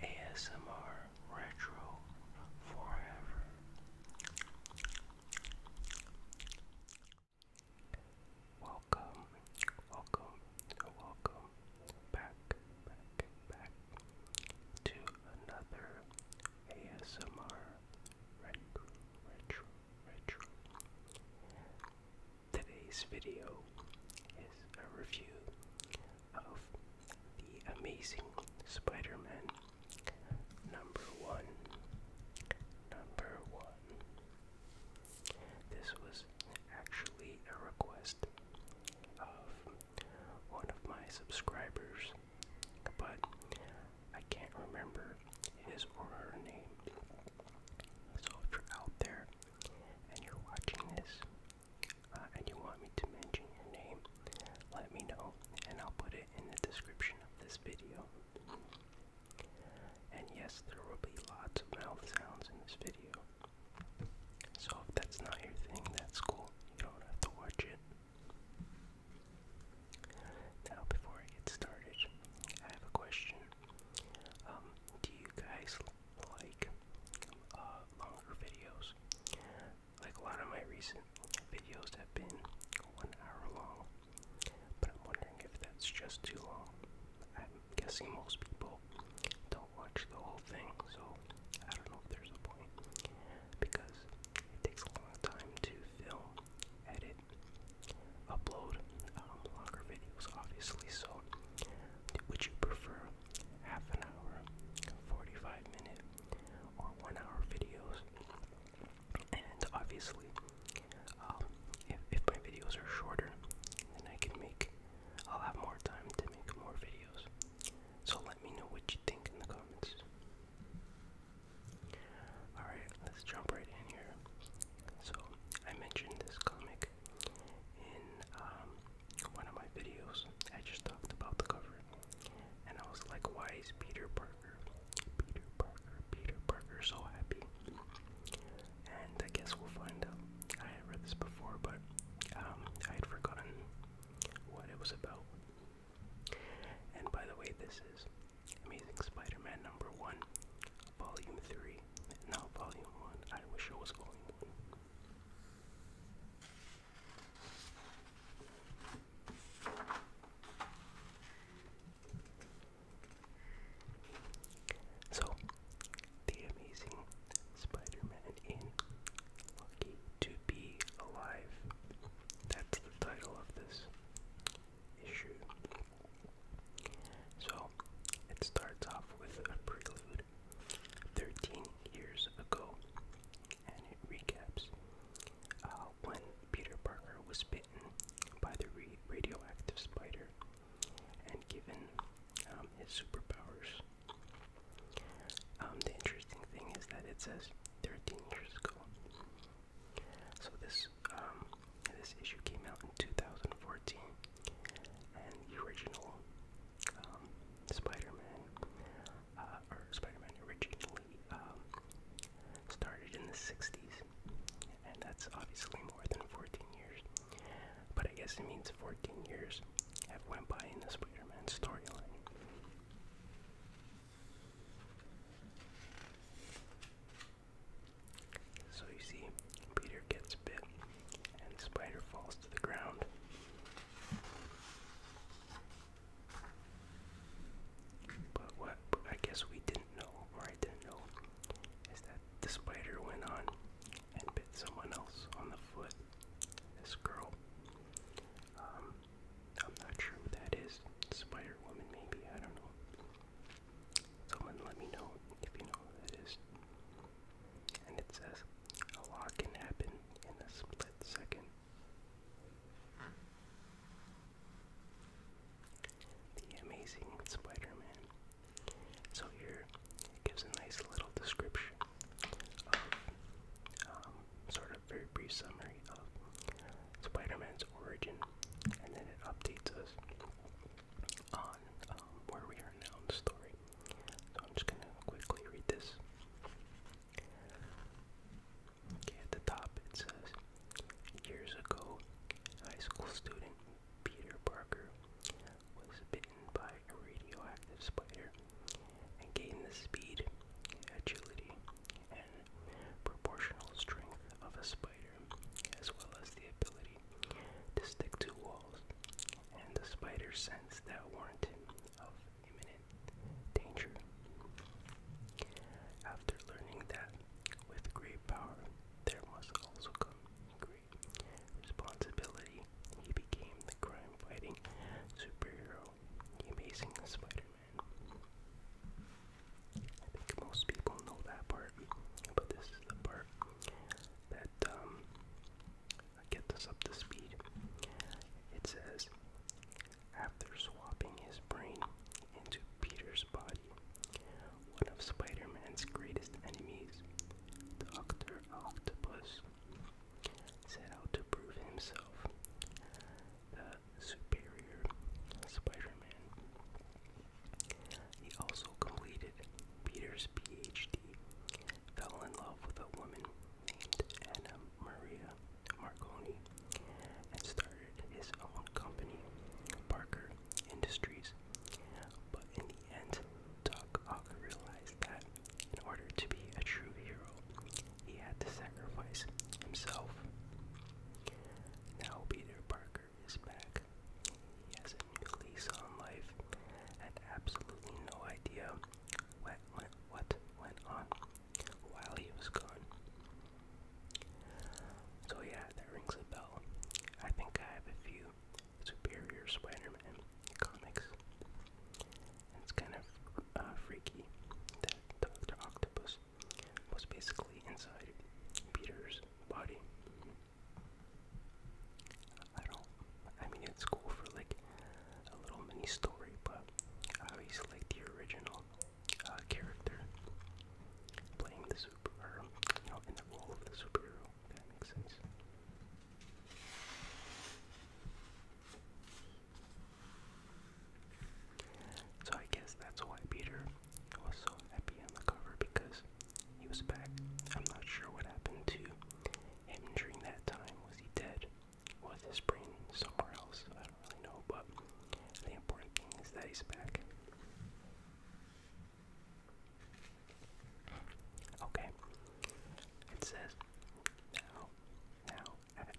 ASMR Retro Forever. Welcome, welcome, welcome back, back, back to another ASMR Retro, Today's video is a review of The Amazing Spider Man number one. Number one. This was actually a request of one of my subscribers, but I can't remember his or her name. So if you're out there and you're watching this uh, and you want me to mention your name, let me know, and I'll put it in the description of this video. And yes, there will be lots of mouth sounds in this video. So if that's not your thing, that's cool. You don't have to watch it. Now, before I get started, I have a question. Um, do you guys like uh, longer videos. Like a lot of my recent videos have been one hour long, but I'm wondering if that's just too long. I'm guessing most people don't watch the whole thing, so I don't know if there's a point because it takes a long time to film, edit, upload um, longer videos, obviously. So, would you prefer half an hour, 45 minute, or one hour videos. And obviously, um, if, if my videos are shorter, then I can make, I'll have more time to make more videos. So let me know what you think in the comments. Alright, let's jump right in here. So, I mentioned this comic in um, one of my videos, I just talked about the cover, and I was like, why is Peter Parker, Peter Parker, Peter Parker so happy? And I guess we'll find out. I had read this before, but um, I had forgotten what it was about. And by the way, this is Amazing Spider-Man number one, volume three. Not volume one. I wish it was volume one. So, the amazing Spider Man in Lucky to Be Alive. That's the title of this issue. So, it starts off with a prelude 13 years ago, and it recaps uh, when Peter Parker was bitten by the radioactive spider and given um, his superpowers. Um, the interesting thing is that it says 13 years ago. So this um, this issue came out in 2014, and the original um, Spider-Man, uh, or Spider-Man originally um, started in the 60s, and that's obviously more than 14 years. But I guess it means 14 years have went by in the Spider-Man storyline. So you see, Peter gets and the spider falls to the ground. But what I guess we didn't know, or I didn't know, is that the spider went on and bit someone else on the foot. This girl. Um, I'm not sure who that is. Spider Woman, maybe. I don't know. Someone let me know if you know who that is. And it says, a lot can happen in a split second. The Amazing Spider-Man. So here gives a nice little description of, um, sort of very brief summary of Spider-Man's origin, and then it updates us on um, where we are now in the story. So I'm just gonna quickly read this. Okay, at the top it says, years ago, high school student Peter Parker was bitten by a radioactive spider and gained the speed, agility, and proportional strength of a spider, as well as the ability to stick to walls and the spider sense that warned him of imminent danger. After learning that with great power there must also come great responsibility, he became the crime fighting superhero, the amazing Spider Man. I think most people know that part, but this is the part that um, get this up to speed. It says, after swapping his brain into Peter's body, one of Spider Man's greatest enemies, Dr. Octopus, set out to prove himself the superior Spider Man. He also completed Peter's PhD fell in love with a woman named Anna Maria Marconi and started his own company, Parker Industries. But in the end, Doc Ock realized that in order to be a true hero, he had to sacrifice himself. Now Peter Parker is back has on life. Had absolutely no idea what went, on while he was gone. So yeah, that rings a bell. I think I have a few Superior Spider-Man comics. It's kind of uh, freaky that Doctor Octopus was basically inside Peter's body. I don't. I mean, it's cool for like a little mini story, but I always like the original uh, character playing the super, you know, in the role of the superhero. that makes sense. So I guess that's why Peter was so happy on the cover because he was back. I'm not sure what happened to him during that time. Was he dead? Was his brain somewhere else? I don't really know, but the important thing is that he's back. Okay. It says now, now at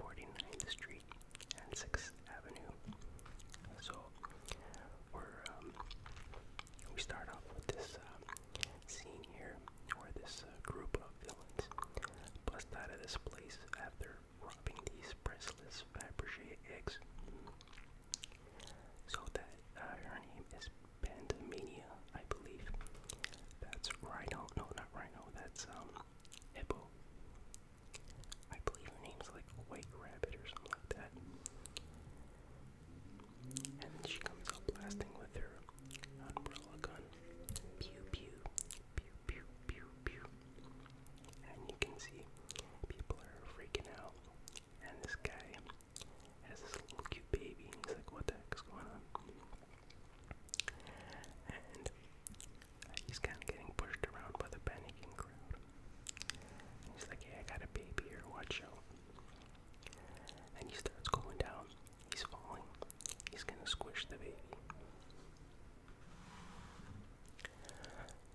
49th Street and 6th Avenue. So we um, we start off with this uh, Seeing here where this uh, group of villains bust out of this place after robbing these priceless Fabergé eggs. So that uh, her name is Pandemania, I believe. That's Rhino. No, not Rhino. That's um, Hippo. I believe her name's like White Rabbit or something like that. And then she comes out blasting with her umbrella gun. Pew pew, pew pew pew pew. And you can see people are freaking out. And this guy has this little cute baby, and he's like, "What the heck going on?" And he's kind of getting pushed around by the panicking crowd. he's like, "Hey, I got a baby here. Watch out!" And he starts going down. He's falling. He's gonna squish the baby.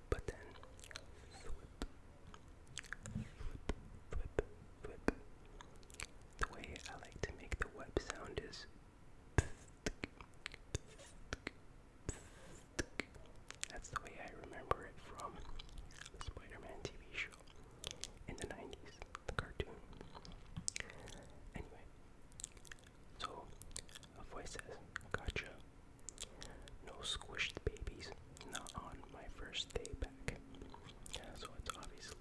But then, The way I like to make the web sound is. That's the way I remember it from the Spider Man TV show in the 90s, the cartoon. Anyway, so a voice says, Gotcha. No squished babies, not on my first day back. Yeah, so it's obviously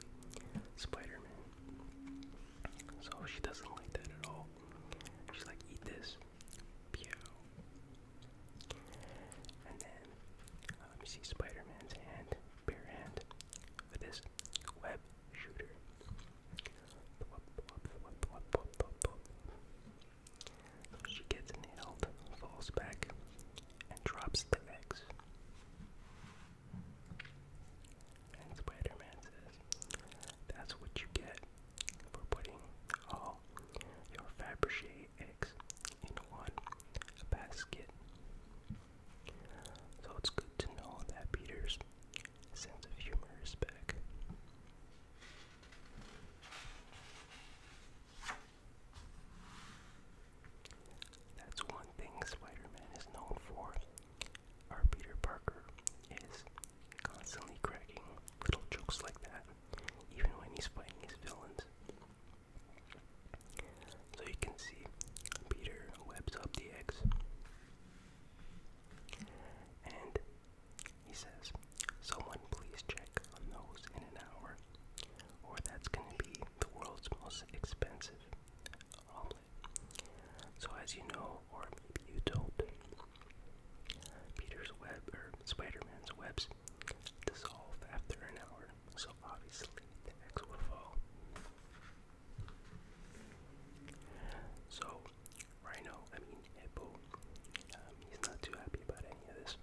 Spider So she doesn't like that at all. She's like, this. Pew. And then let um, me see Spider-Man's hand, bare hand, with this web shooter. She gets nailed, falls back, and drops the eggs. And spider says, "That's what you get for putting all your Fabergé three in one basket. So it's good to know that Peter's sense of humor is back. That's one thing Spider-Man is known for. Our Peter Parker is constantly cracking little jokes like that, even when he's fighting his villains. So you can see Peter webs up the eggs. And he says, Someone please check those in an hour, or that's going to be the world's most expensive omelet. So, as you know, or maybe you don't, Peter's web, or Spider Man's webs dissolve after an hour so obviously the X will fall. So, Rhino, I mean Hippo, um, he's not too happy about any of this.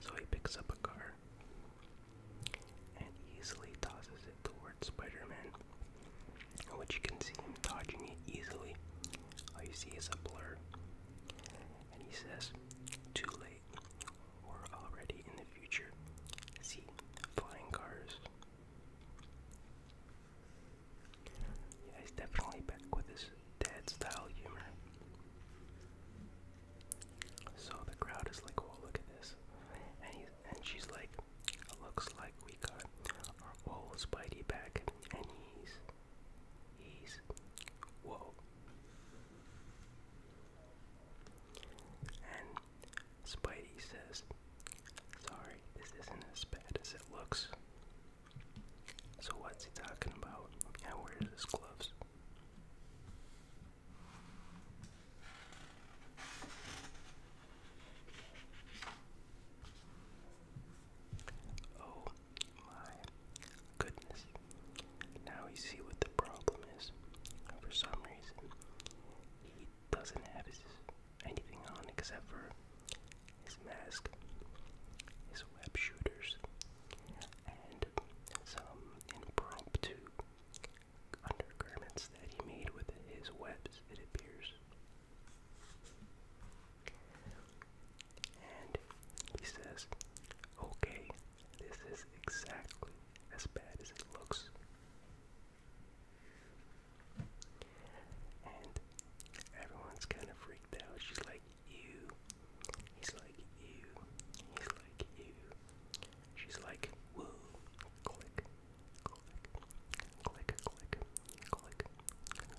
So he picks up a car and easily tosses it towards Spider-Man, which you can see him dodging it easily. All you see is a blur. And he says, too late were already in the future. See, flying cars. Yeah, he's definitely back with his dad style humor. So the crowd is like, oh, look at this. And, he's, and she's like, looks like we got our old Spidey back. And he's. He's. Whoa. And Spidey says, Sorry, this isn't as bad as it looks. So, what's he talking about? And where's his gloves? Oh my goodness, now we see what the problem is. For some reason, he doesn't have his anything on except for his mask, his web shooters, and some impromptu undergarments that he made with his webs, it appears. And he says, Okay, this is exactly as bad as it looks. And everyone's kind of freaked out. She's like, ew. He's like, ew. He's like, ew. She's like, woo. Click, click, click, click, click,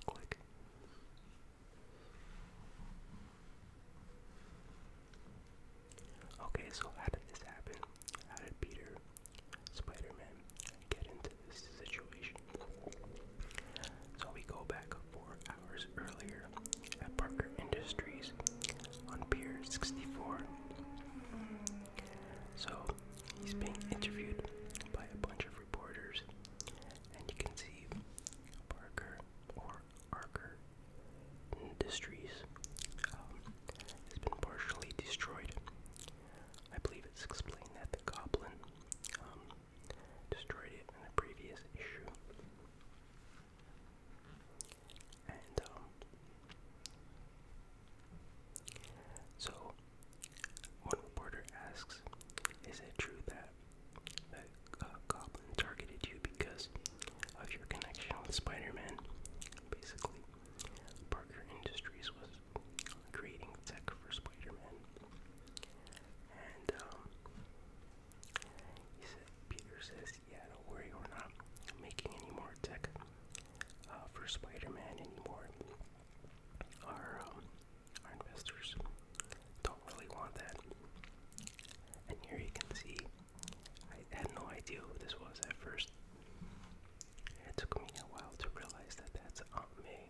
click. Okay, so how did this happen? How did Peter, Spider-Man, get into this situation? So we go back four hours earlier at Parker Industries on Pier 64. So he's being interviewed by a bunch of reporters, and you can see Parker or Arker industries um, has been partially destroyed. I believe it's explained that the goblin um, destroyed it in a previous issue. And um, so one reporter asks, is it true that uh, Goblin targeted you because of your connection with Spider-Man. Basically, Parker Industries was creating tech for Spider-Man, and um, he said, Peter says, don't worry, we're not making any more tech uh, for Spider-Man anymore. Our um, our investors don't really want that." And here you can see I had no idea who this was at first. It took me a while to realize that that's Aunt May.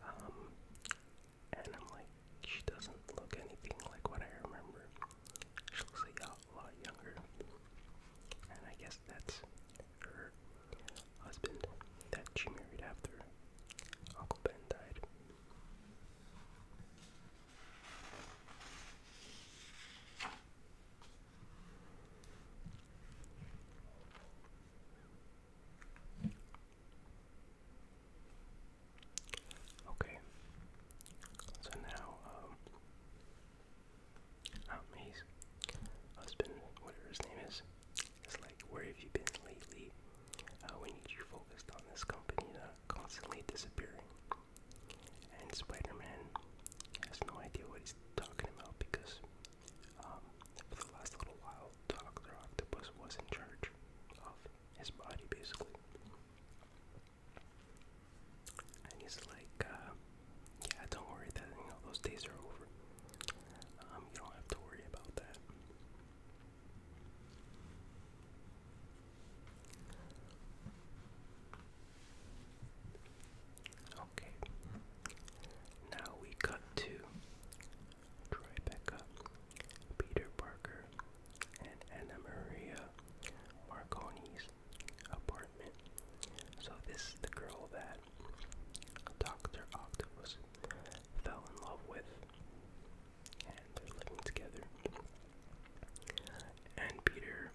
Um, and I'm like, she doesn't look anything like what I remember. She looks like a lot younger. And I guess that's her husband that she married after Uncle Ben died. Okay. So now, um, um, oh, his husband, whatever his name is, is like, where have you been lately? Uh, we need you focused on this company now constantly disappearing. And Spider Man has no idea what he's talking about because um, for the last little while, Dr. Octopus was in charge of his body basically. And he's like, uh, yeah, don't worry that you know those days are over. Um, you don't have to worry about that. Okay. Now we cut to Tribeca, Peter Parker, and Anna Marconi's apartment. So this is the girl that Doctor Octopus fell in love with and they're living together. And Peter,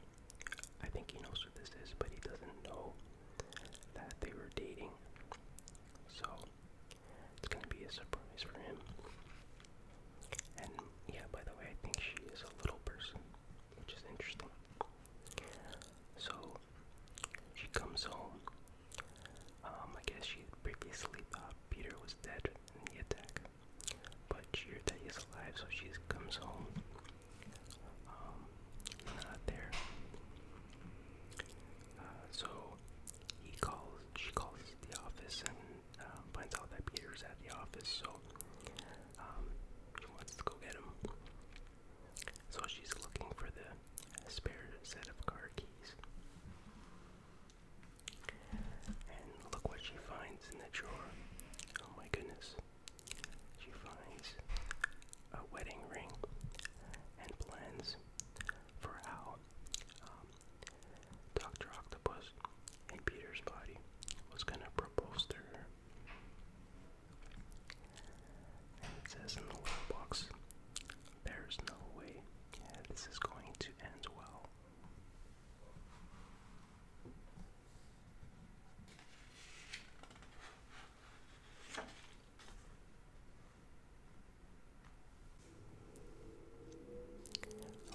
I think he knows what this is, but he doesn't know that they were dating. So it's gonna be a surprise for him. And yeah, by the way, I think she is a little person, which is interesting. So she comes home. Um, I guess she previously thought Peter was dead in the attack but sure that alive, so she comes home. Um, not there. Uh, so he calls. She calls the office and uh, finds out that Peter's at the office. So um, she wants to go get him. So she's looking for the spare set of car keys. And look what she finds in the drawer. Oh my goodness. She finds a wedding ring and plans for how um, Dr. Octopus in Peter's body was going to propose to her. And it says in the little box, there's no way this is going to end well.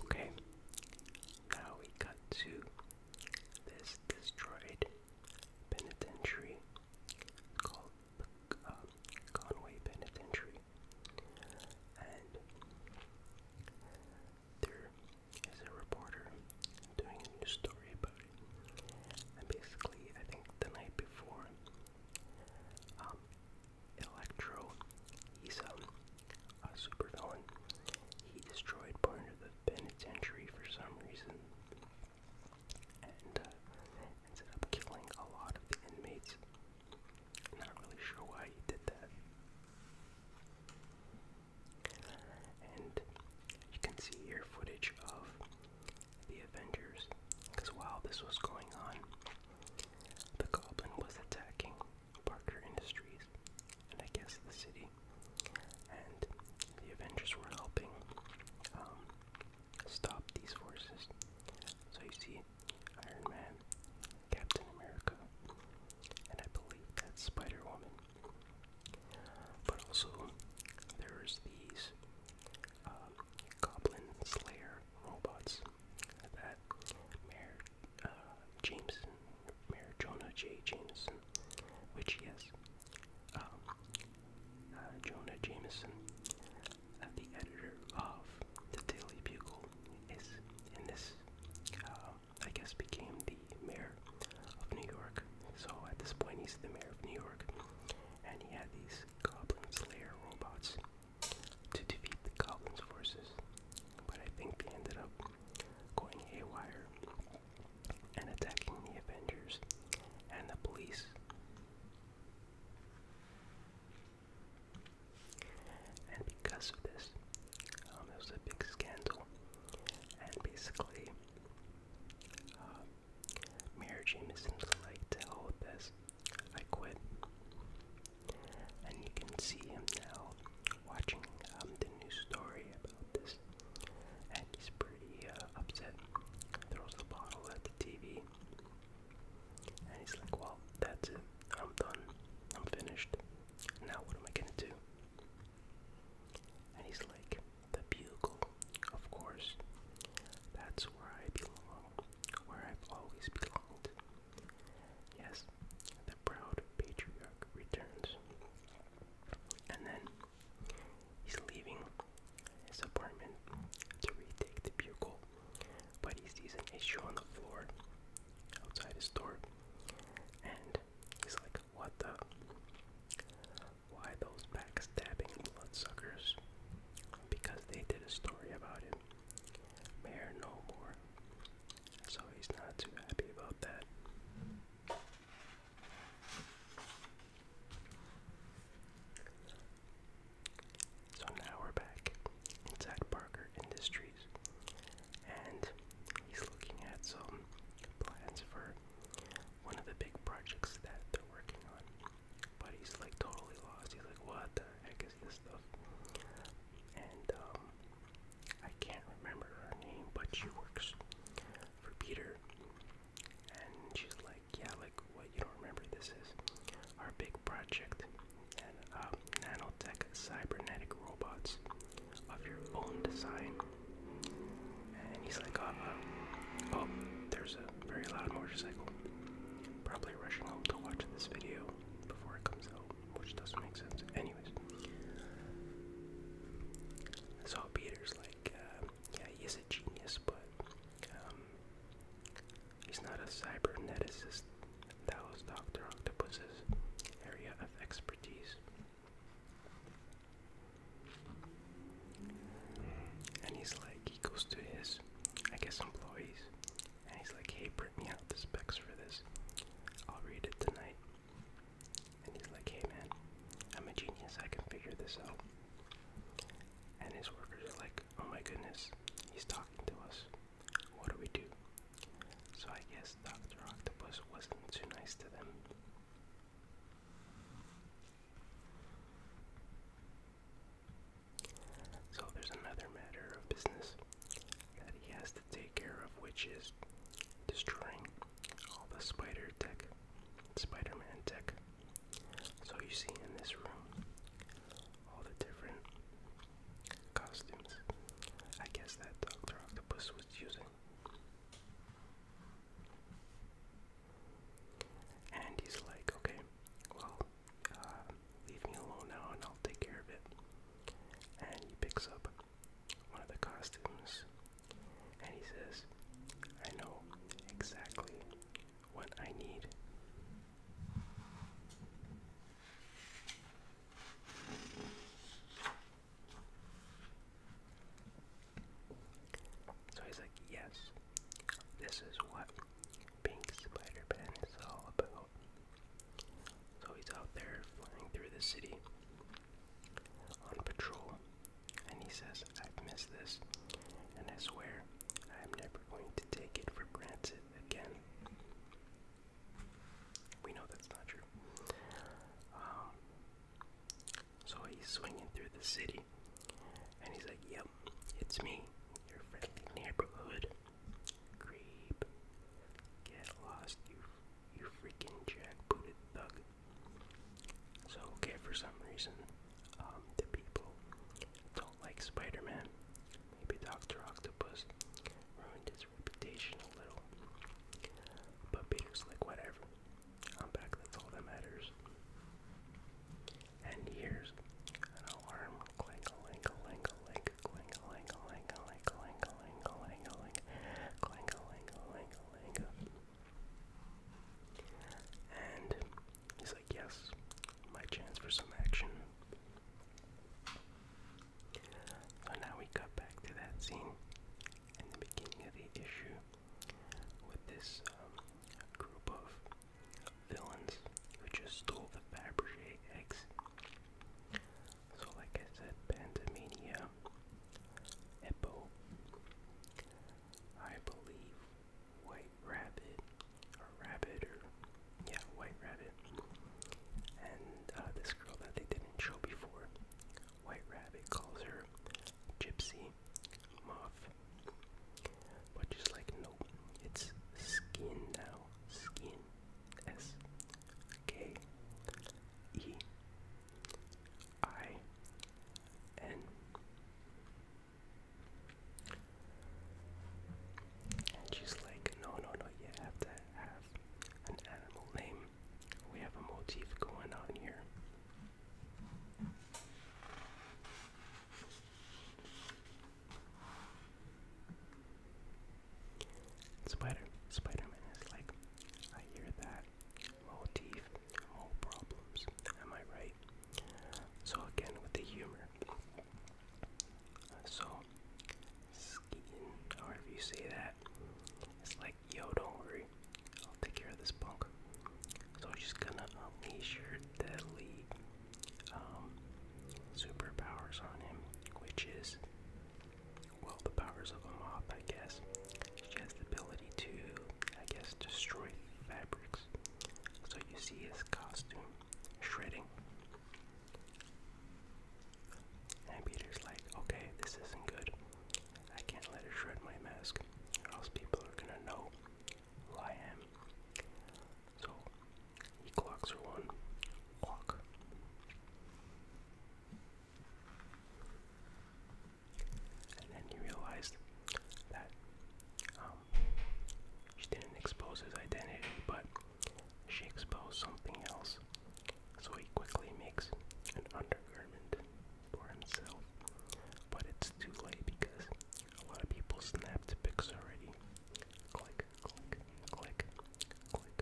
Okay, now we cut to this destroyed penitentiary called um, Conway Penitentiary. And there is a reporter doing a news story about And basically, I think the night before, um, Electro, he's um, a supervillain. He destroyed part of the penitentiary for some reason. And uh, up killing a lot of the inmates. Not really sure why he did that. And you can see here footage of the Avengers, because while this was going on, the Goblin was attacking Parker Industries, and I guess the city, and the Avengers were helping um, stop these forces. So you see Iron Man, Captain America, and I believe that's Spider Woman. But also, there's these um, Goblin Slayer robots that Mayor uh, Jameson, Mayor Jonah J. Jameson, which, yes, um, uh, Jonah Jameson, uh, the editor of the Daily Bugle, is in this, uh, I guess, became the mayor of New York. So at this point, he's the mayor of New York, and he had these Goblin Slayer robots to defeat the Goblin's forces. But I think they ended up going haywire and attacking the Avengers and the police. And because of this, um, there was a big scandal, and basically, uh, isn't like to hold this. I quit, and you can see him now watching um, the news story about this, and he's pretty uh, upset. Throws the bottle at the TV, and he's like, "Well, that's it. I'm done. I'm finished." Now, what am I gonna do? And he's like, The bugle, of course. That's where I belong, where I've always belonged. Yes, the proud patriarch returns. And then he's leaving his apartment to retake the bugle but he sees an issue on the floor outside his door. And he's like, what the? Why those backstabbing bloodsuckers? Because they did a story about him. Mayor no more. So he's not too happy about that. So now we're back inside Parker Industries, and he's looking at some plans for one of the big projects that they're working on. But he's like totally lost. He's like, what the heck is this stuff? And um, I can't remember her name, but she works for Peter. And she's like, yeah, like what you don't remember this is our big project and uh, nanotech cybernetic robots of your own design. And he's like, uh, uh, oh, there's a very loud motorcycle. Probably rushing home to watch this video before it comes out, which doesn't make sense. Anyways, so Peter's like, yeah, he is a genius, but um, he's not a cyberneticist that was Dr. Octopus's area of expertise. And he's like, he goes to his, I guess, employees, and he's like, hey, print me out the specs for this. I'll read it tonight. And he's like, hey, man, I'm a genius, I can figure this out. And his workers are like, oh my goodness, he's talking to us. What do we do? So I guess Dr. Octopus wasn't too nice to them. So there's another matter of business that he has to take care of, which is destroying all the spider tech, Spider-Man tech. So you see in this room all the different costumes. I guess that Doctor Octopus was using. And he's like, okay, well, uh, leave me alone now and I'll take care of it. And he picks up one of the costumes and he says, I know exactly what I need. So he's like, Yes, this is what Pink Spider is all about. So he's out there flying through the city on patrol, and he says, I've this, and I swear I'm never going to take it for granted again. We know that's not true. Um, so he's swinging through the city, and he's like, "Yep, it's me, your friendly neighborhood creep. Get lost, you, you freaking jackbooted thug." So okay, for some reason, um, the people don't like spider Maybe Doctor Octopus ruined his reputation a little. But Peter's like, whatever. I'm back, that's all that matters. And here's an alarm clank a link a link a link clank a link a link a link a link a And he's like, yes, my chance for some action. So now we cut back to that scene in the beginning of the issue with this um, group of villains who just stole the Fabergé eggs. So, like I said, Pantomania, Eppo, I believe White Rabbit, or Rabbit, or yeah, White Rabbit. And uh, this girl that they didn't show before, White Rabbit calls her Gypsy Moth. But she's like, nope, it's skin now. Skin. S K E I N. And she's like, no, no, no, you have to have an animal name. We have a motif going on here. Spider spider is like, I hear that motif, no problems. Am I right? So again with the humor. So Skeeton, however you say that. It's like, yo, don't worry. I'll take care of this punk. So she's gonna unleash her deadly superpowers on him, which is, well, the powers of a moth, I guess. She has the ability to, I guess, destroy fabrics. So you see his costume shredding. And Peter's like, okay, this isn't good. I can't let it shred my mask, else people are gonna know who I am. So he clocks her one clock. And then he realized that um, she didn't expose his identity, but she exposed something else so he quickly makes an undergarment for himself. But it's too late because a lot of people snapped pics already. Click, click, click, click, click,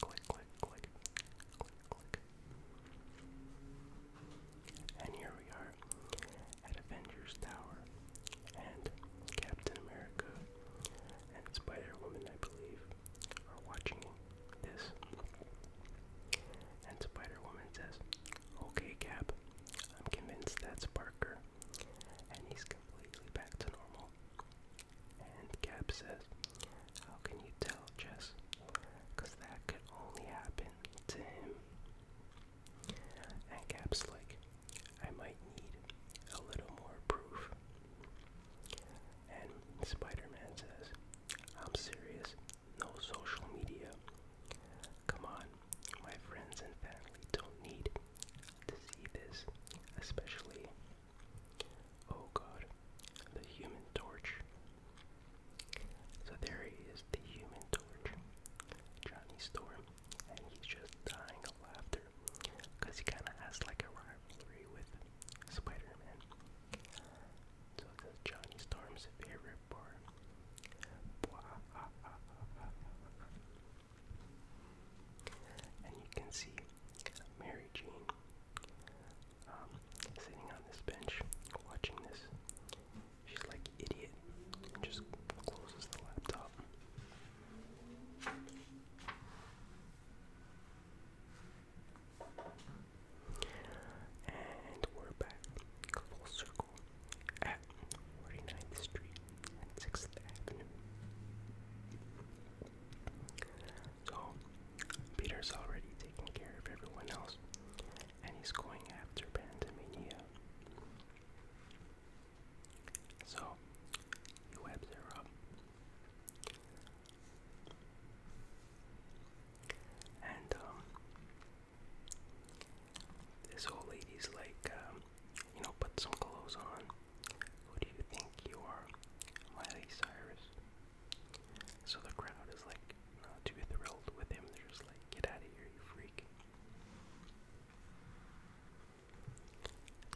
click, click, click, click. And here we are at Avengers Tower and Captain America and Spider Woman, I believe, are watching this. And Spider Woman says, Okay, Cap, I'm convinced that's Parker. And he's completely back to normal. And Cap says, How can you tell, Jess? Because that could only happen to him. And Cap's like, I might need a little more proof. And Spider Man says, I'm serious, no social media. Come on, my friends and family don't need to see this, especially. Oh god, the human torch. So there he is, the human torch, Johnny Storm, and he's just dying of laughter because he kind of has like a rivalry with Spider-Man. So it Johnny Storm's favorite bar. And you can see Mary Jean um, sitting on this bench watching this. She's like idiot and just closes the laptop. And we're back, full circle, at 49th Street 6th Avenue. So, Peter's already taken care of everyone else, and he's going after Pandemania. So, he webs her and um, this old lady's like, um, you know, put some clothes on. Who do you think you are, Miley Cyrus? So the crowd is like not too thrilled with him. They're just like, get out of here, you freak.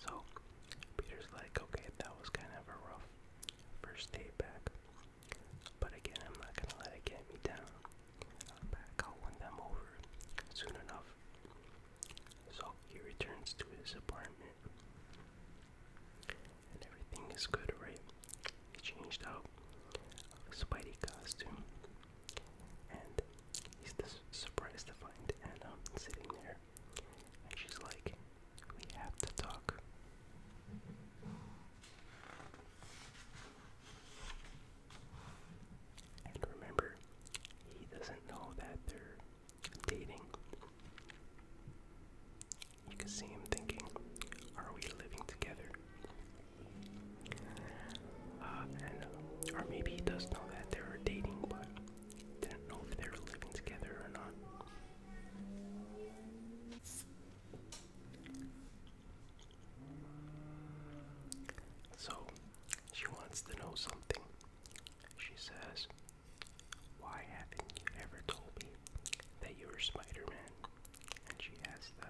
So Peter's like, okay, that was kind of a rough first day back. But again, I'm not gonna let it get me down. back, I'll win them over soon enough. So he returns to his apartment. And everything is good, right? He changed out his Spidey costume. And he's surprised to find Anna sitting there and she's like, we have to talk. And remember, he doesn't know that they're dating. You can see him thinking, are we living together? Uh, and, or maybe he does know that they are dating, but didn't know if they were living together or not. So she wants to know something. She says, Why haven't you ever told me that you were Spider Man? And she has the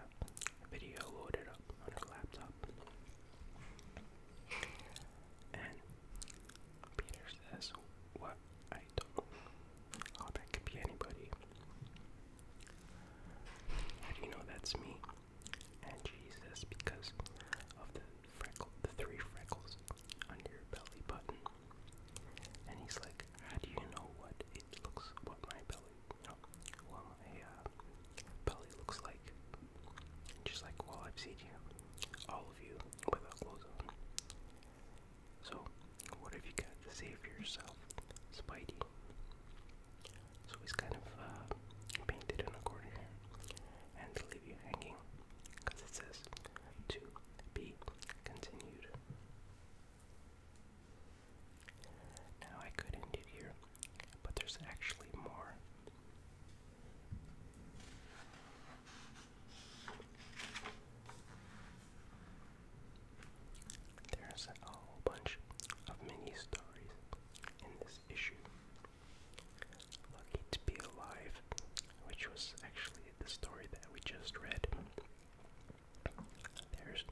video loaded up on her laptop. And Peter says, What? I don't know. that could be anybody. How do you know that's me? And she says, Because of the freckle, the three freckles on your belly button. And he's like, How do you know what it looks, what my belly, you what my uh, belly looks like? Just like, Well, I've seen you, all of you, without clothes on. So, what have you got to say for yourself, Spidey? So he's kind of uh, painted in a corner and leave you hanging, because it says to be continued. Now I could end it here, but there's actually more. There's a whole bunch of mini stories in this issue. Lucky to be alive, which was actually the story that we just read. There's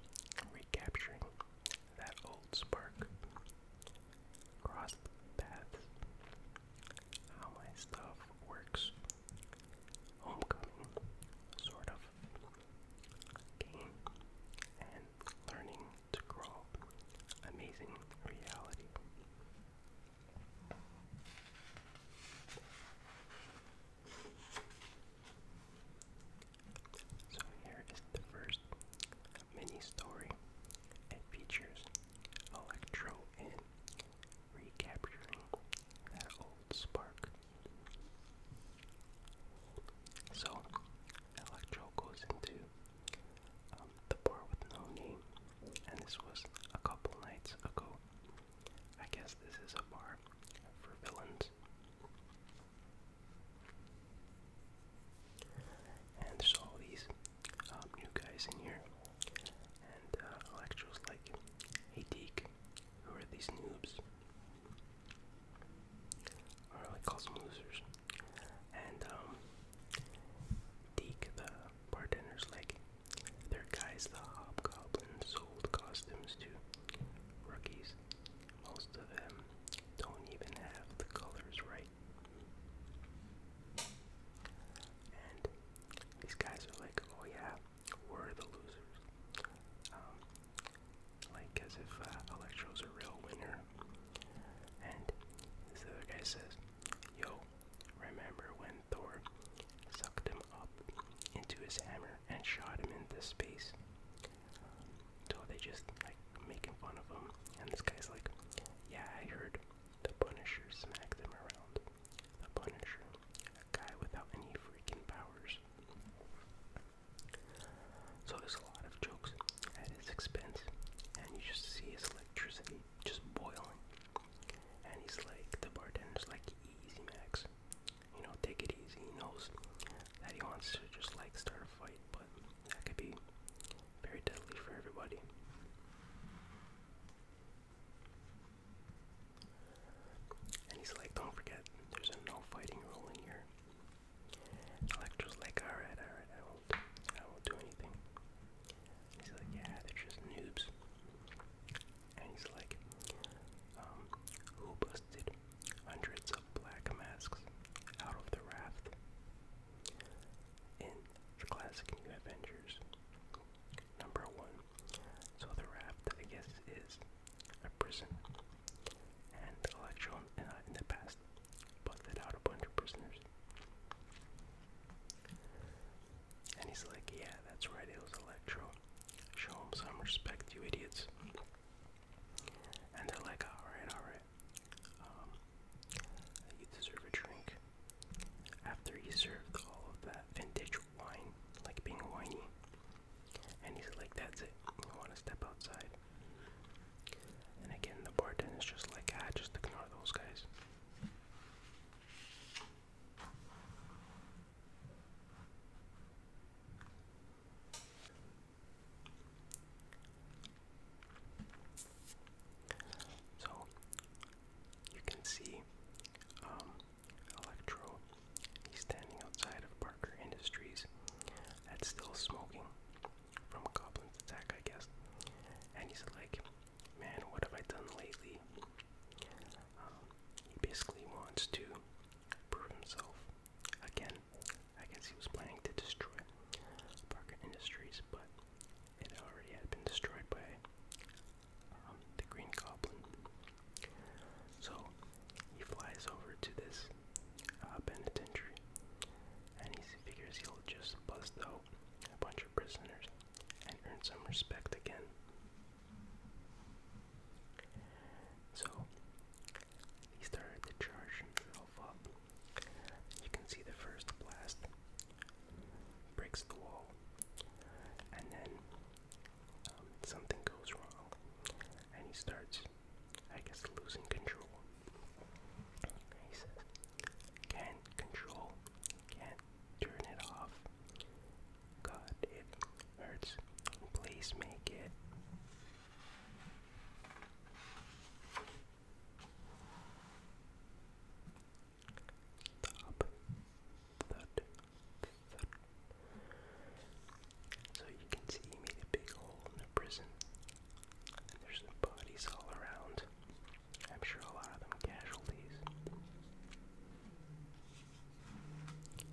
recapturing that old spark. Crossed paths how my stuff works. Homecoming, sort of game, and learning to crawl. Amazing reality. So here is the first mini story. It features Electro and recapturing that old spark. So, Electro goes into um, the bar with no name, and this was a couple nights ago. I guess this is a bar for villains. And there's all these um, new guys in here. And uh, Electro's like, hey Deke, who are these noobs? Or like calls them losers. And Deke, um, the bartender's like, their guys the hobgoblin sold costumes to rookies. Most of them don't even have the colors right these guys are like, oh yeah, we're the losers. Um, like as if uh, Electro's a real winner. And this other guy says, yo, remember when Thor sucked him up into his hammer and shot him into space? So they just like making fun of him, and this guy's like, yeah, I heard the Punisher smacked them around. The Punisher, a guy without any freaking powers. So there's a lot of jokes at his expense, and you just see his electricity just boiling. And he's like, the bartender's like, easy, Max. You know, take it easy. He knows that he wants to just like start a fight, but that could be very deadly for everybody. And he's like, don't forget, there's a no fighting rule in here. Electra's like, alright, alright, I won't, I won't do anything. he's like, yeah, they're just noobs. And he's like, um, who busted hundreds of black masks out of the raft? In the classic New Avengers, Number one. So the raft, I guess, is a prison. And Electron uh, in the past busted out a bunch of prisoners. And he's like, yeah, that's right, it was Electro. Show him some respect, you idiots. And they're like, alright, alright. Um, you deserve a drink. After he served all of that vintage wine, like being whiny, and he's like, That's it, you want to step outside. And again, the bartender is just like, Ah, just ignore those guys. So you can see um, Electro, he's standing outside of Parker Industries. That's still smoking from Goblin's attack, I guess. And he's like, man, what have I done lately? Um, he basically wants to prove himself again. I guess he was planning to destroy Parker Industries, but it already had been destroyed by um, the Green Goblin. So he flies over to this uh, penitentiary and he figures he'll just bust out a bunch of prisoners and earn some respect again. So he started to charge himself up. You can see the first blast breaks the wall, and then um, something goes wrong, and he starts, I guess, losing control. He says, "Can't control, can't turn it off. God, it hurts. Please make it." So you can see he made a big hole in the prison. And there's bodies all around. I'm sure a lot of them casualties.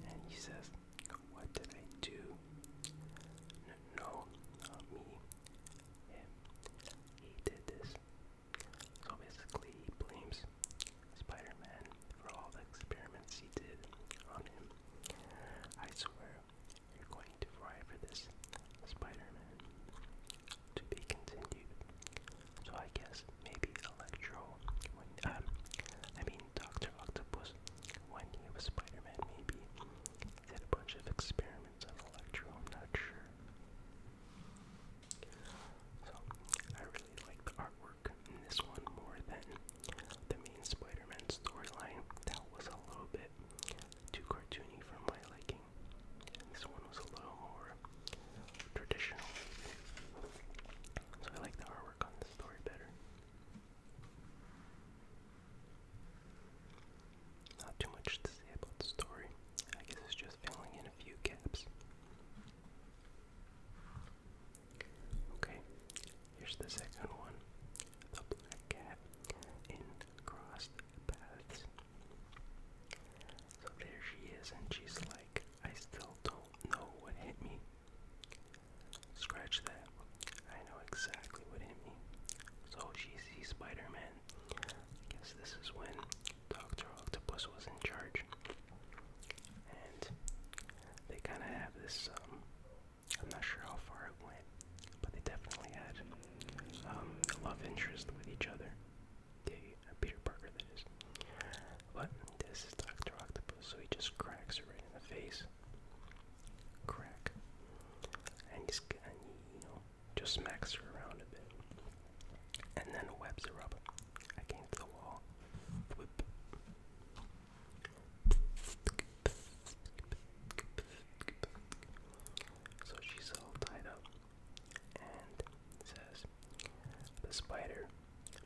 And he says, What did I do? no not me. Him. He did this. So basically, he blames Spider Man for all the experiments he did on him. I swear, you're going to fry for this, Spider Man. To be continued. So I guess maybe Electro, when, um, I mean Dr. Octopus, when he was Spider Man, maybe did a bunch of experiments on Electro, I'm not sure. So, I really like the artwork in this one more than the main Spider Man storyline. That was a little bit too cartoony for my liking. This one was a little more traditional. So, I like the artwork on the story better. Not too much to say about the story. I guess it's just filling in a few gaps Okay, here's the second one The Black Cat in Crossed Paths. So there she is, and she's like, I still don't know what hit me. Scratch that. I know exactly what hit me. So she sees Spider I guess this is when Doctor Octopus was in charge, and they kind of have this. Um, I'm not sure how far it went, but they definitely had um, a love interest with each other. They, uh, Peter Parker, that is. But this is Doctor Octopus, so he just cracks her right in the face. Crack, and he's and he, you know just smacks her around a bit. And then webs her up against the wall. So she's all tied up and says, The spider,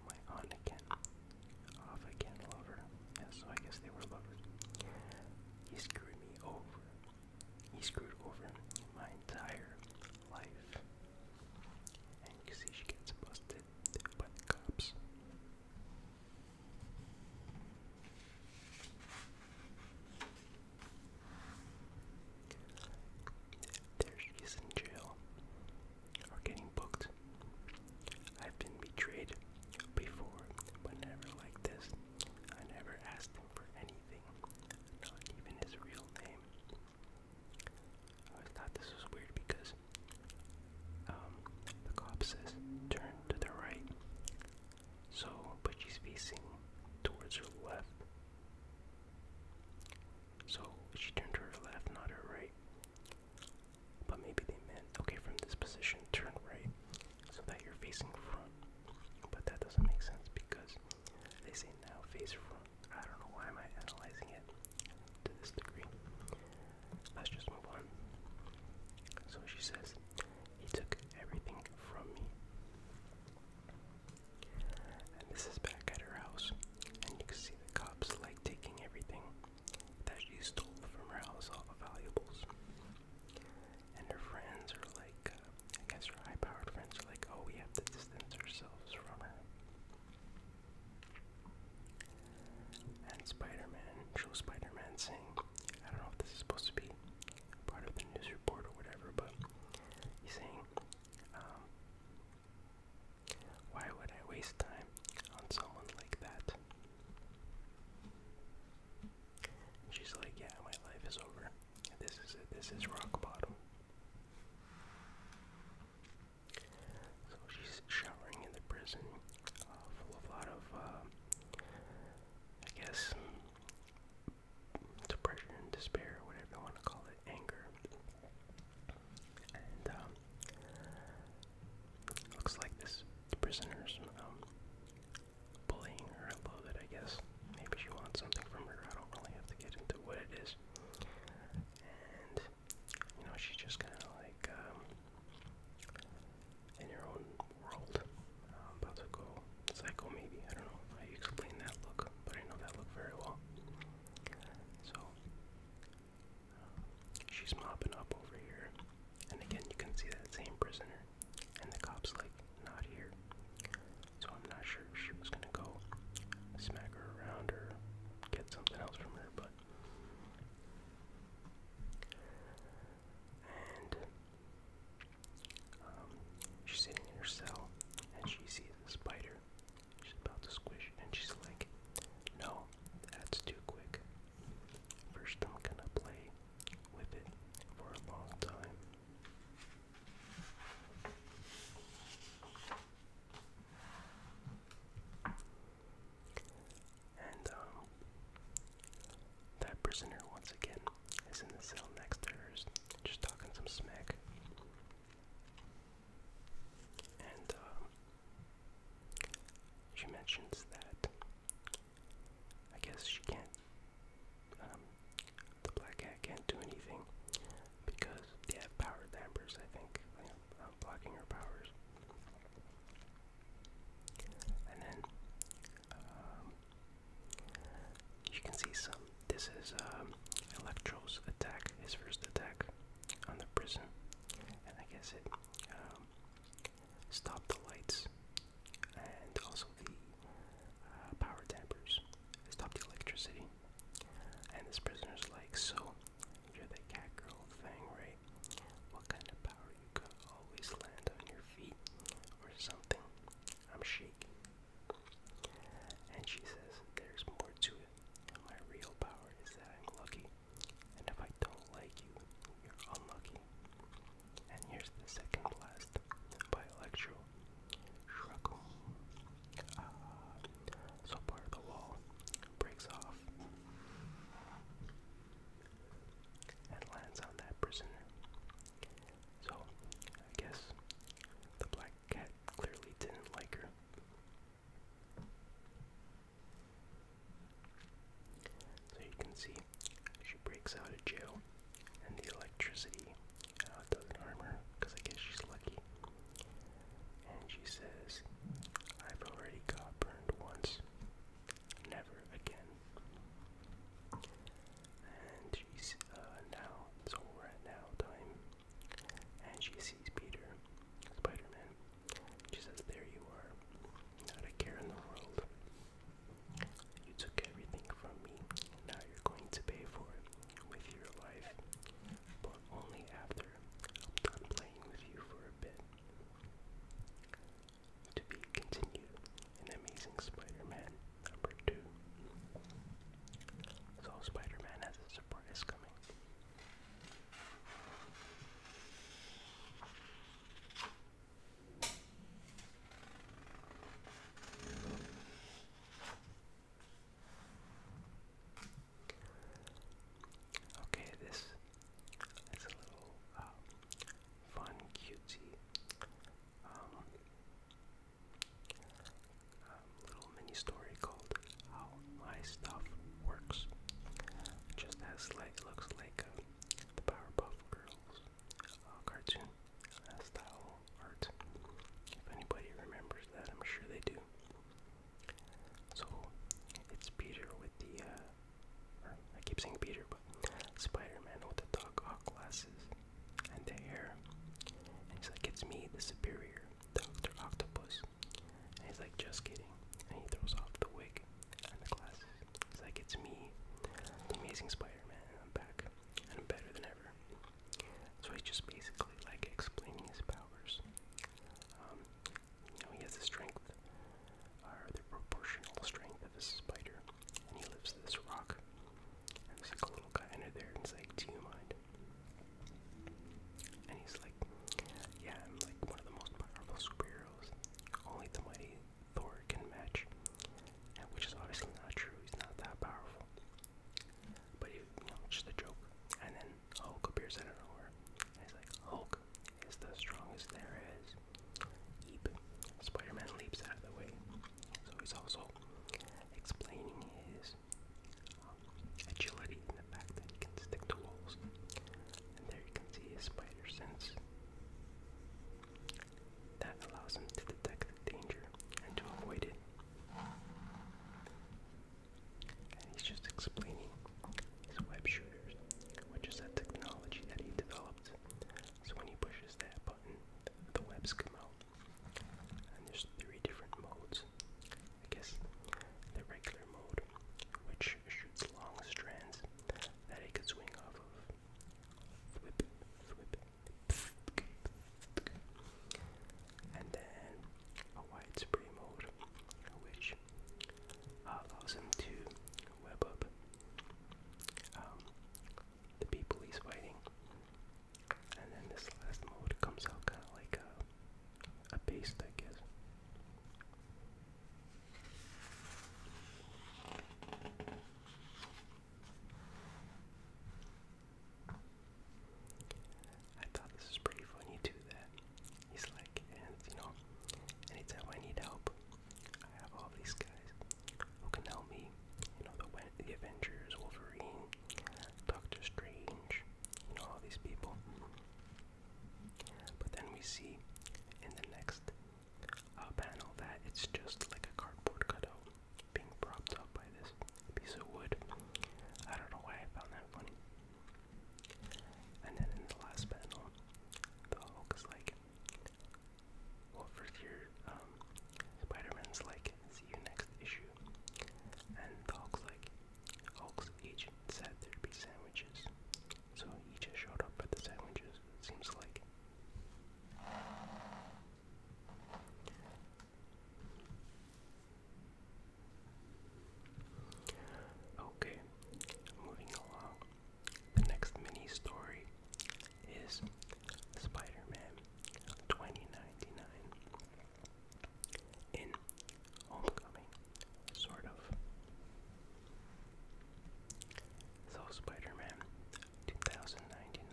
my on again, off again lover. Yeah, so I guess they were lovers. He screwed me over. He screwed over my entire life. And you see she gets busted by the cops. There she is in jail, or getting booked. I've been betrayed before, but never like this. I never asked him for anything, not even his real name. I thought this was weird because um, the cop says turn to the right. So, but she's facing towards her left. So she turned to her left, not her right. But maybe they meant, okay, from this position, turn right so that you're facing front. But that doesn't make sense because they say now face I don't know why am I analyzing it to this degree. Let's just move on. So she says, he took everything from me. And this is back at her house. And you can see the cops like taking everything that she stole from her house, all the valuables. And her friends are like, uh, I guess her high-powered friends are like, oh, we have to distance ourselves from it. And Spider-Man, show Spider-Man saying, I don't know if this is supposed to be part of the news report or whatever, but he's saying, um, why would I waste time on someone like that? she's like, yeah, my life is over. This is it. This is rock bottom. So she's showering in the prison, uh, full of a lot of, uh, I guess, depression, despair, whatever you want to call it, anger. And um, looks like this prisoner's um, bullying her a little bit, I guess. Maybe she wants something from her. I don't really have to get into what it is. And you know, she's just kind of like um, in her own world. about to go psycho, maybe. I don't know how you explain that look, but I know that look very well. So um, she's mopping up over here, and again, you can see that same prisoner, and the cops like not here so I'm not sure if she was gonna go smack her around or get something else from her, but and um, she's sitting in her cell and she sees a spider. She's about to squish and she's like, No, that's too quick. First I'm gonna play with it for a long time. And um, that prisoner once again is in the cell next to hers, just talking some smack. And um, she mentions that I guess she can't um, the black cat can't do anything because they have power dampers, I think. blocking her powers. And then um, you can see some. This is um, Electro's attack, his first attack on the prison. And I guess it um, stopped the lights and also the uh, power dampers. Stop the electricity. And this prisoner's like, so, you're the cat thing, right? What kind of power you could always land on your feet or something? I'm shaking. And she says, there's more to it. My real power is that I'm lucky. And if I don't like you, you're unlucky. And here's the second blast by Electro. Shruggle. Ah, so part of the wall breaks off and lands on that prisoner. So, I guess the black cat clearly didn't like her. So you can see she breaks out of jail and the electricity uh, it doesn't harm her, because I guess she's lucky. And she says, I've already got burned once. Never again. And she's uh, now, so we now time. And she sees Peter, Spider Man. She says, There you are. Not a care in the world. You took everything from me, and now you're going to pay for it with your life, but only after I'm done playing with you for a bit. To be continued in Amazing Spider-Man number 2. So Spider-Man has a surprise coming. Okay, this is a little uh, fun, cutesy um, um, little mini story called How My Stuff Works. Just as like looks like a uh, the Powerpuff Girls uh, cartoon style art. If anybody remembers that, I'm sure they do. So it's Peter with the, uh, I keep saying Peter, but Spider-Man with the Doc Ock glasses and the hair. And he's like, it's me, the superior, Doctor Octopus. And he's like, just kidding. And he throws off the wig and the glasses. He's like, it's me, the Amazing Spider-Man, and I'm back, and I'm better than ever. So he's just basically like explaining his powers. Um, you know, he has the strength, or the proportional strength of a spider, and he lifts this rock. And there's little guy under there, like, "Do you mind?" And he's like, "Yeah, I'm like one of the most powerful superheroes. Only the mighty Thor can match." And which is obviously not true. He's not that powerful. But you know, just a joke. And then Hulk appears out of nowhere. he's like, Hulk is the strongest there is. Spider Man leaps out of the way. So he's also explaining his um, agility and the fact that he can stick to walls. And there you can see his spider sense. That allows him to detect danger and to avoid it he's just explaining his web shooters, which is that technology that he developed. So when he pushes that button, the webs come out. And there's three different modes. I guess the regular mode, which shoots long strands that it could swing off of and then a wide spray mode, which allows him to web up um, the people he's fighting. And then this last mode comes out kind of like a, a paste, I guess. I thought this was pretty funny too that he's like, and you know, anytime I need help, I have all these guys who can help me. You know, the, Avengers, Wolverine, Doctor Strange, you know, all these people. But then we see in the next uh, panel that it's just like a cardboard cutout being propped up by this piece of wood. I don't know why I found that funny. And then in the last panel, the Hulk is like, well, first here, um, spider you next issue. And the Hulk's like, agent said there'd be sandwiches. So he just showed up at the sandwiches, seems like. Okay, moving along. The next mini story is Spider Man 2099. In Homecoming, sort of. So, Spider Man 2099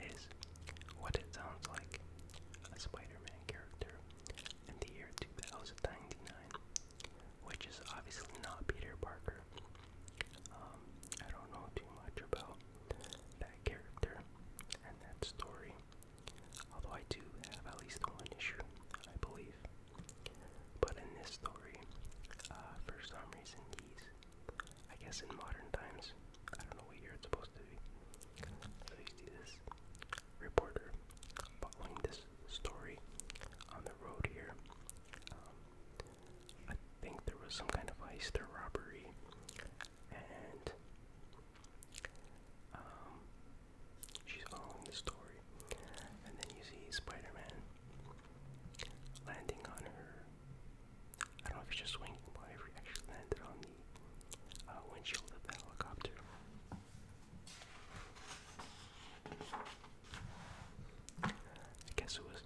is what it sounds like a Spider-Man character in the year 2099, which is obviously not Peter Parker. Um, I don't know too much about that character and that story, although I do have at least one issue, I believe. But in this story, uh, for some reason, these, I guess in modern times, I don't know what year it's supposed to be. So you see this reporter following this story on the road here. Um, I think there was some kind of heist or robbery, and um, she's following the story. And then you see Spider Man landing on her I don't know if it's just swinging, but it actually landed on the uh, windshield of the helicopter. I guess it was,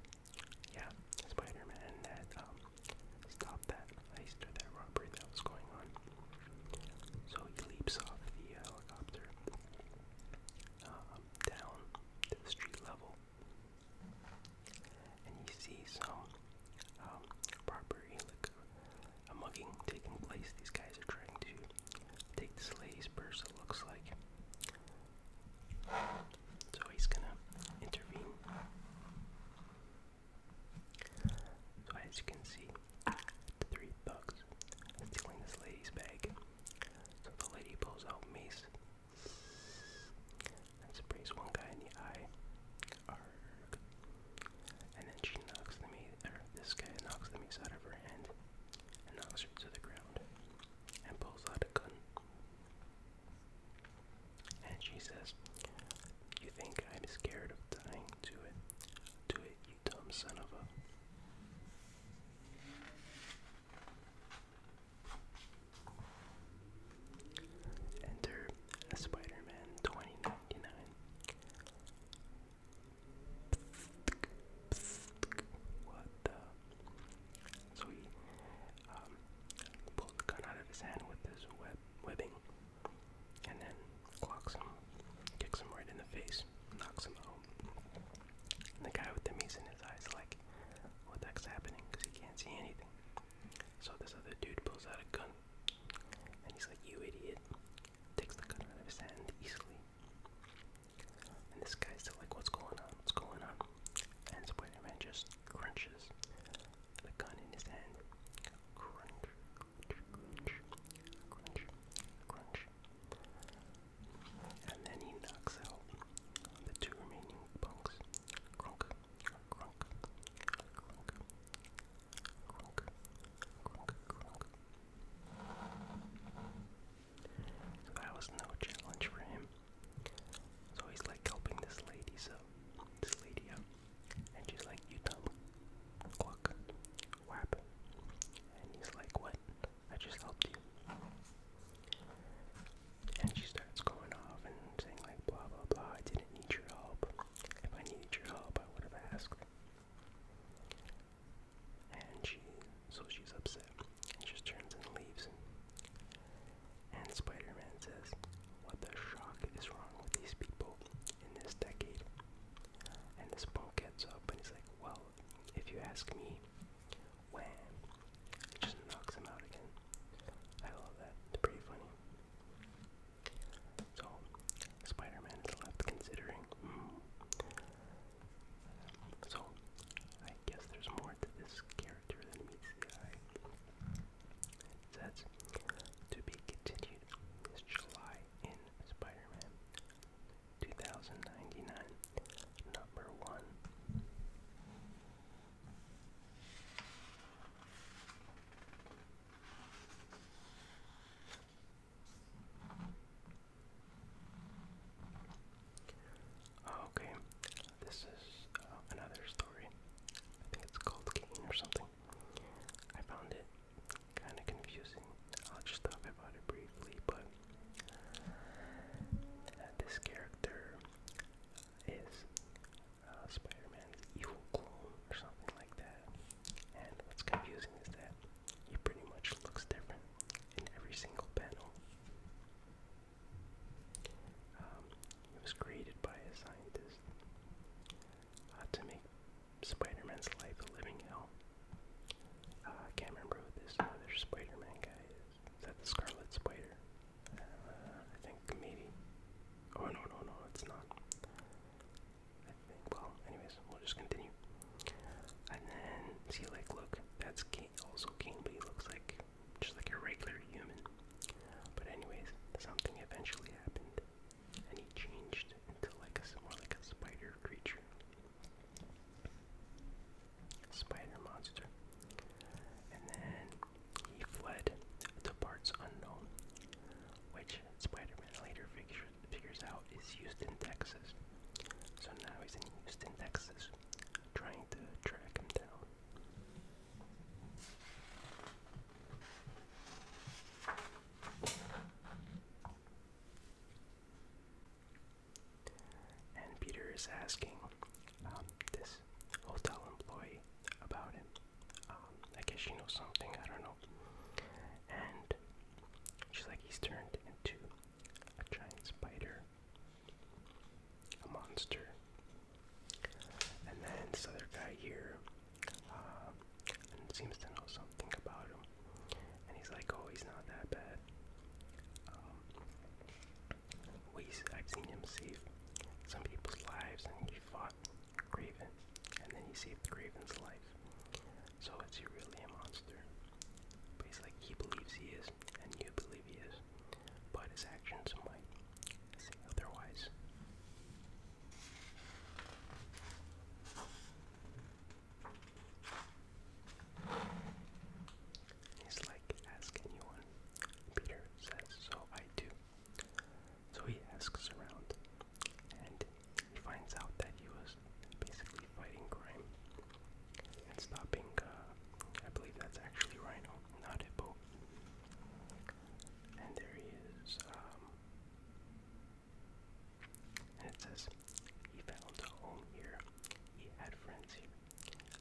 yeah, Spider-Man that um, stopped that heist that robbery that was going on. So he leaps off the helicopter um, down to the street level and you see some um, robbery, like a mugging taking place. These guys are trying to take this lady's purse, it looks like. So he's gonna intervene. So as you can see, three thugs are stealing this lady's bag. So the lady pulls out mace Let's one guy in the eye. And then she knocks the maid, this guy knocks the mace out of her hand and knocks her to the ground and pulls out a gun. And she says, You think I'm scared of dying? Do it. Do it, you dumb son of a. Enter Spider-Man 2099. What the? So he um, pulled gun out of his hand with his web webbing, and then clocks him, kicks him right in the face, knocks him out. the guy with the mace in his eyes, like, what the heck's happening? Because he can't see anything. So this other dude pulls out a gun, and he's like, You idiot. Takes the gun out of his hand easily. And this guy's still like, What's going on? What's going on? And Spider Man just crunches the gun in his hand. Crunch, crunch, crunch, crunch. And then he knocks out the two remaining punks. Crunk, that was no challenge for him. So he's like helping this lady, so this lady And she's like, you dumb cluck. And he's like, what? I just helped you. And she starts going off and saying like blah blah blah, I didn't need your help. If I needed your help, I would have asked. And she, so she's upset and just turns and leaves. And Spider-Man says, "What the shock is wrong with these people in this decade?" And this punk gets up and he's like, "Well, if you ask me, wham!" It just knocks him out again. I love that. It's pretty funny. So, Spider Man is left considering. Hmm. So, I guess there's more to this character than meets the eye. It to be continued this July in Spider Man 2099, number one. Okay, this is uh, another story. I think it's called Kane or something. I found it kind of confusing. I'll just talk about it briefly, but uh, this character is uh, Spider-Man's evil clone or something like that. And what's confusing is that he pretty much looks different in every single panel. Um, it was created by a scientist uh, to make Spider-Man's life a living hell. Uh, I can't remember who this other Spider-Man guy is. Is that the Scarlet Spider? Uh, I think maybe. Oh no no no, it's not. Well, anyways, we'll just continue. And then see, like, look, that's also Kane, but he looks like just like a regular human. But anyways, something eventually happened, and he changed into like a more like a spider creature, spider monster. And then he fled to parts unknown, which Spider-Man later figure, figures out is Houston, Texas. So now he's in Houston, Texas, trying to track him down. And Peter is asking um, this hotel employee about him. Um, I guess she knows something, I don't know. And she's like, he's turned into a giant spider, a monster. And then this other guy here um, seems to know something about him. And he's like, oh, he's not that bad. Um, we I've seen him save some people's lives, and he fought Graven, and then he saved Graven's life. So is he really a monster? But he's like, he believes he is, and you believe he is, but his actions might say otherwise. He's like, ask anyone. Peter says, so I do. So he asks around and he finds out that he was basically fighting crime and stopping, uh, I believe that's actually Rhino, not Hippo. And there he is. Um, and it says, he found a home here. He had friends here.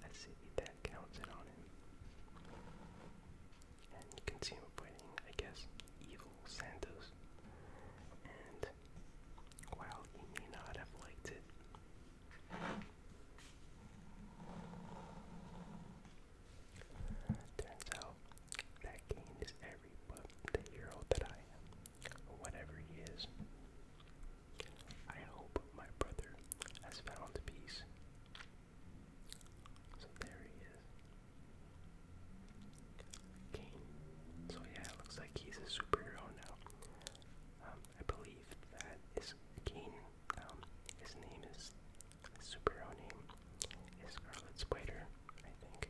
A city that counted on him and you can see fighting, I guess, evil Santos. And while he may not have liked it, turns out that Kane is every but the hero that I whatever he is. I hope my brother has found peace so there he is. Kane. So yeah, it looks like he's a superhero now. Um, I believe that is Kane. Um, his name is superhero name is Scarlet Spider, I think.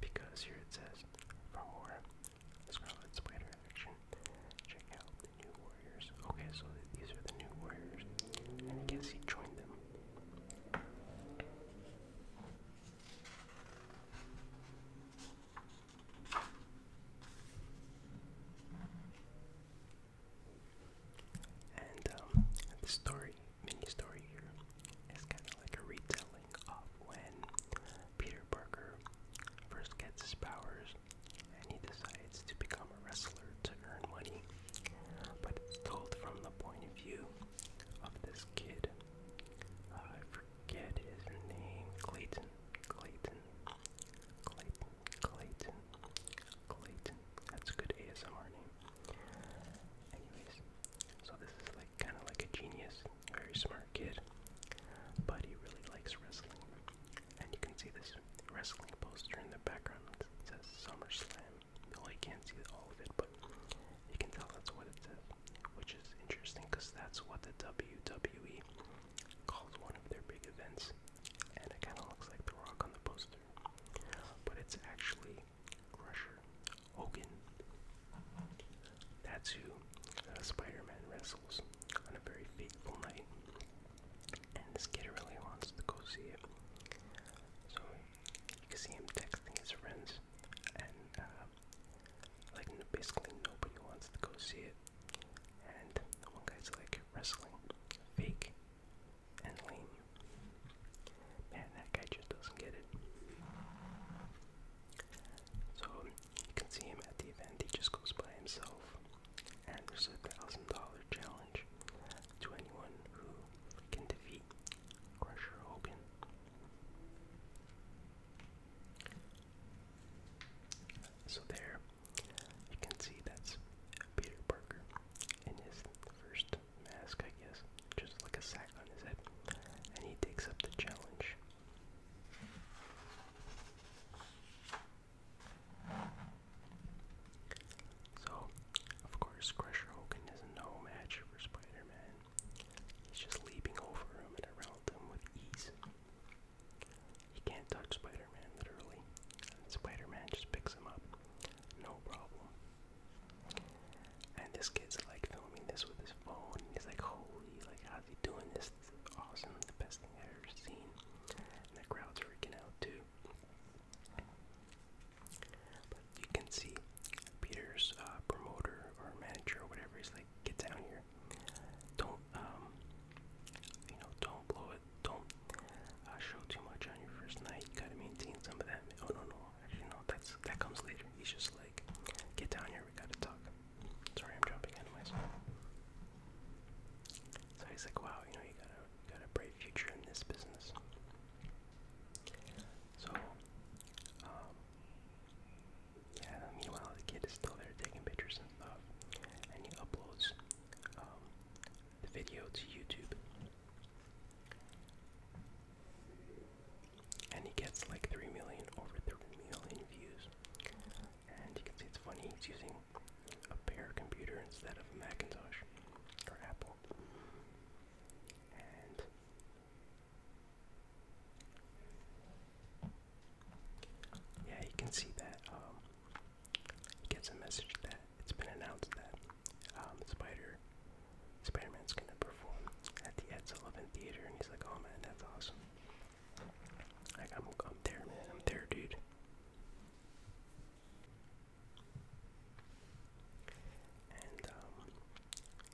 Because here it says, for more Scarlet Spider action, check out the New Warriors. Okay, so these are the New Warriors. And guess he joined them and um, the story, mini story here, is kind of like a retelling of when Peter Parker first gets his powers and he decides to become become a wrestler to earn money, but it's told from the point of view of this kid. Uh, I forget his name. Clayton. Clayton. Clayton. Clayton. Clayton. That's a good ASMR name. Anyways, so this is like kind of like a genius, very smart kid, but he really likes wrestling. And you can see this wrestling poster in the background. It says SummerSlam well, you can't see all of it, but you can tell that's what it says, which is interesting because that's what the WWE calls one of their big events, and it kind of looks like The Rock on the poster, but it's actually Crusher Hogan. That's who uh, Spider-Man wrestles on a very fateful night, and this kid really wants to go see it. So you can see him texting his friends, and uh, like basically nobody wants to go see it. And one guy's like wrestling, fake and lame. Man, that guy just doesn't get it. So you can see him at the event. He just goes by himself, and there's a thousand dollar challenge to anyone who can defeat Crusher Hogan. So there you can see that's Peter Parker in his first mask, I guess, just like a sack on his head, and he takes up the challenge. So, of course, Crusher Hogan is no match for Spider Man. He's just leaping over him and around him with ease. He can't touch Spider Man, literally. Spider Man just picks him up. No problem. And this kid's like filming this with his phone. And he's like, holy, like, how's he doing this? This is awesome. The best thing I've ever seen. And the crowd's freaking out, too. But you can see Peter's uh, promoter or manager or whatever is like, get down here. Don't, um, you know, don't blow it. Don't uh, show too much on your first night. You gotta maintain some of that. Oh no, no, actually no, that's that comes later. He's just like, get down here. We gotta talk. Sorry, I'm jumping anyways. So he's like, wow, you know, you got a, you got a bright future in this business. So, um, yeah, meanwhile, the kid is still there taking pictures and stuff, and he uploads um, the video to YouTube. And he gets like 3 million, over 3 million views. And you can see it's funny, he's using a pair computer instead of a Macintosh or Apple yeah, you can see that um, he gets a message that it's been announced that um, Spider Spider-Man's gonna perform at the Ed Sullivan Theater, and he's like, "Oh man, that's awesome! Like I'm, I'm there, man. I'm there, dude." And um,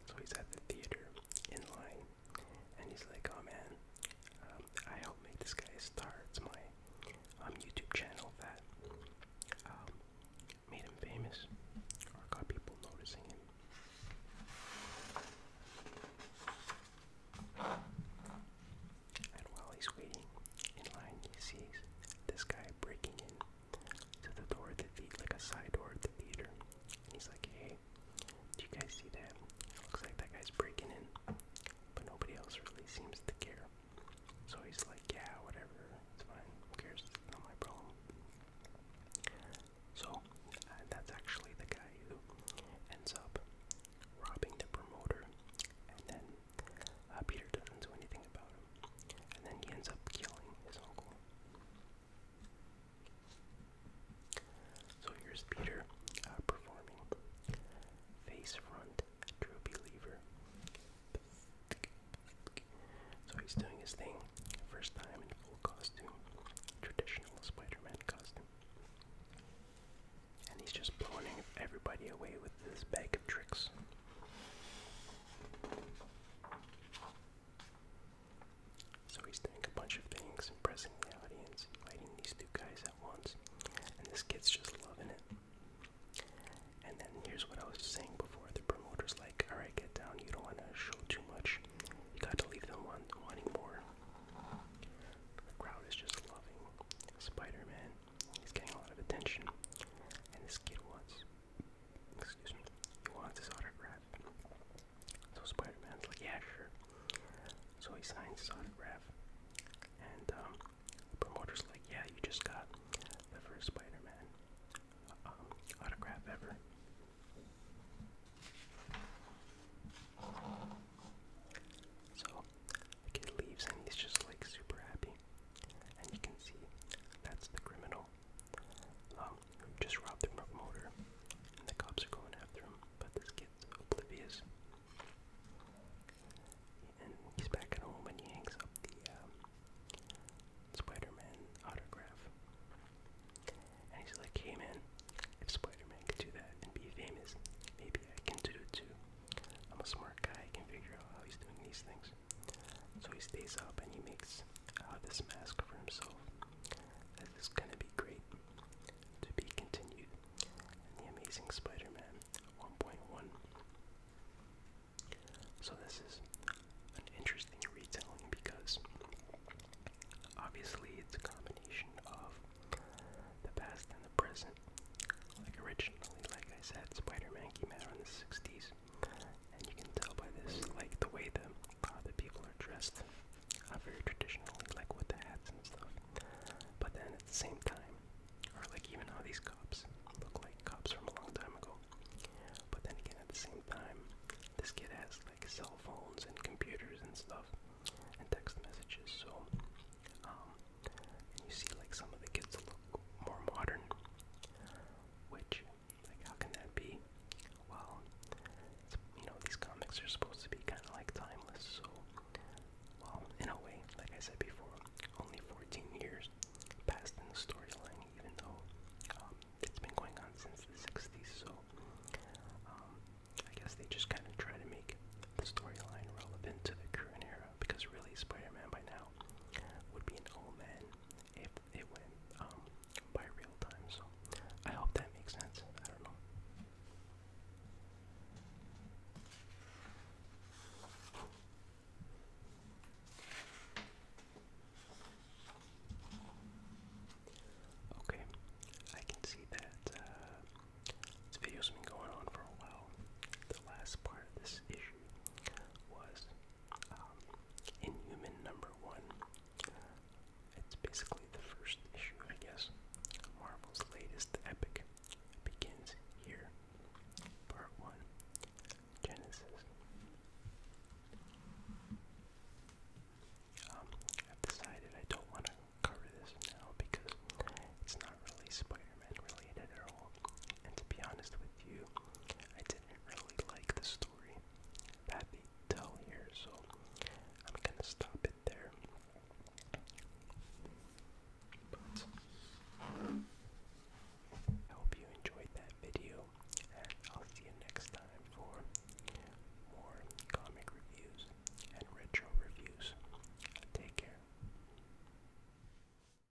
so he's at the theater in line, and he's like, "Oh man, um, I hope this guy starts my um, YouTube channel that made him famous, or got people noticing him." And while he's waiting in line, he sees this guy breaking in to the door of the theater, like a side door of the theater. And he's like, hey, do you guys see that? Looks like that guy's breaking in, but nobody else really seems to care. So he's like, yeah, whatever, it's fine, who cares, it's not my problem. So uh, that's actually the guy who ends up robbing the promoter and then uh, Peter doesn't do anything about him, and then he ends up killing his uncle. So here's Peter uh, performing face front, true believer. So he's doing his thing, first time in full costume, traditional Spider-Man costume. And he's just blowing everybody away with his bag of tricks. So he's doing a bunch of things, impressing the audience, lighting these two guys at once, and this kid's just loving it. And then here's what I was saying before: the promoter's like, "Alright, get down. You don't want to show too much. You got to leave them want wanting more." The crowd is just loving Spider-Man. He's getting a lot of attention. And this kid wants, excuse me, he wants his autograph. So Spider like, yeah, sure. So he signs his autograph. And um, the promoter's like, yeah, you just got the first Spider Man um, autograph ever. So the kid leaves and he's just like super happy. And you can see that's the criminal um, who just robbed the promoter. And the cops are going after him, but this kid's oblivious. And he's back at home and he hangs up the um, Spider Man autograph. And he's like, hey man, if Spider Man could do that and be famous, maybe I can do it too. I'm a smart guy, I can figure out how he's doing these things. So he stays up and he makes uh, this mask for himself. This is gonna be great. To be continued. And the Amazing Spider-Man 1.1. So this is an interesting retelling because obviously it's a combination of the past and the present. Like originally, like I said, Spider-Man came out in the 60s place. And you can tell by this, like the way the uh, the people are dressed, uh, very traditionally, like with the hats and stuff. But then at the same time, or like even how these cops look like cops from a long time ago. But then again, at the same time, this kid has like cell phones and computers and stuff, and text messages. So, um, and you see like some of the kids look more modern, which, like, how can that be? Well, you know, these comics are supposed to be kind of like timeless, so, well, in a way, like I said before, only 14 years passed in the storyline, even though um, it's been going on since the 60s, so um, I guess they just kind of try to make the storyline relevant to the current era because really Spider-Man by now would be an old man if it went um, by real time. So I hope that makes sense. I don't know. Okay, I can see that uh, video's been going on for a while. The last part of this issue was um, Inhuman number one. It's basically the first issue, I guess. Marvel's latest epic begins here. Part one Genesis. Um, I've decided I don't want to cover this now because it's not really Spider Man related at all and to be honest with you, I didn't really like the story that they tell here, so I'm gonna stop it there. But I hope you enjoyed that video, and I'll see you next time for more comic reviews and retro reviews. Take care.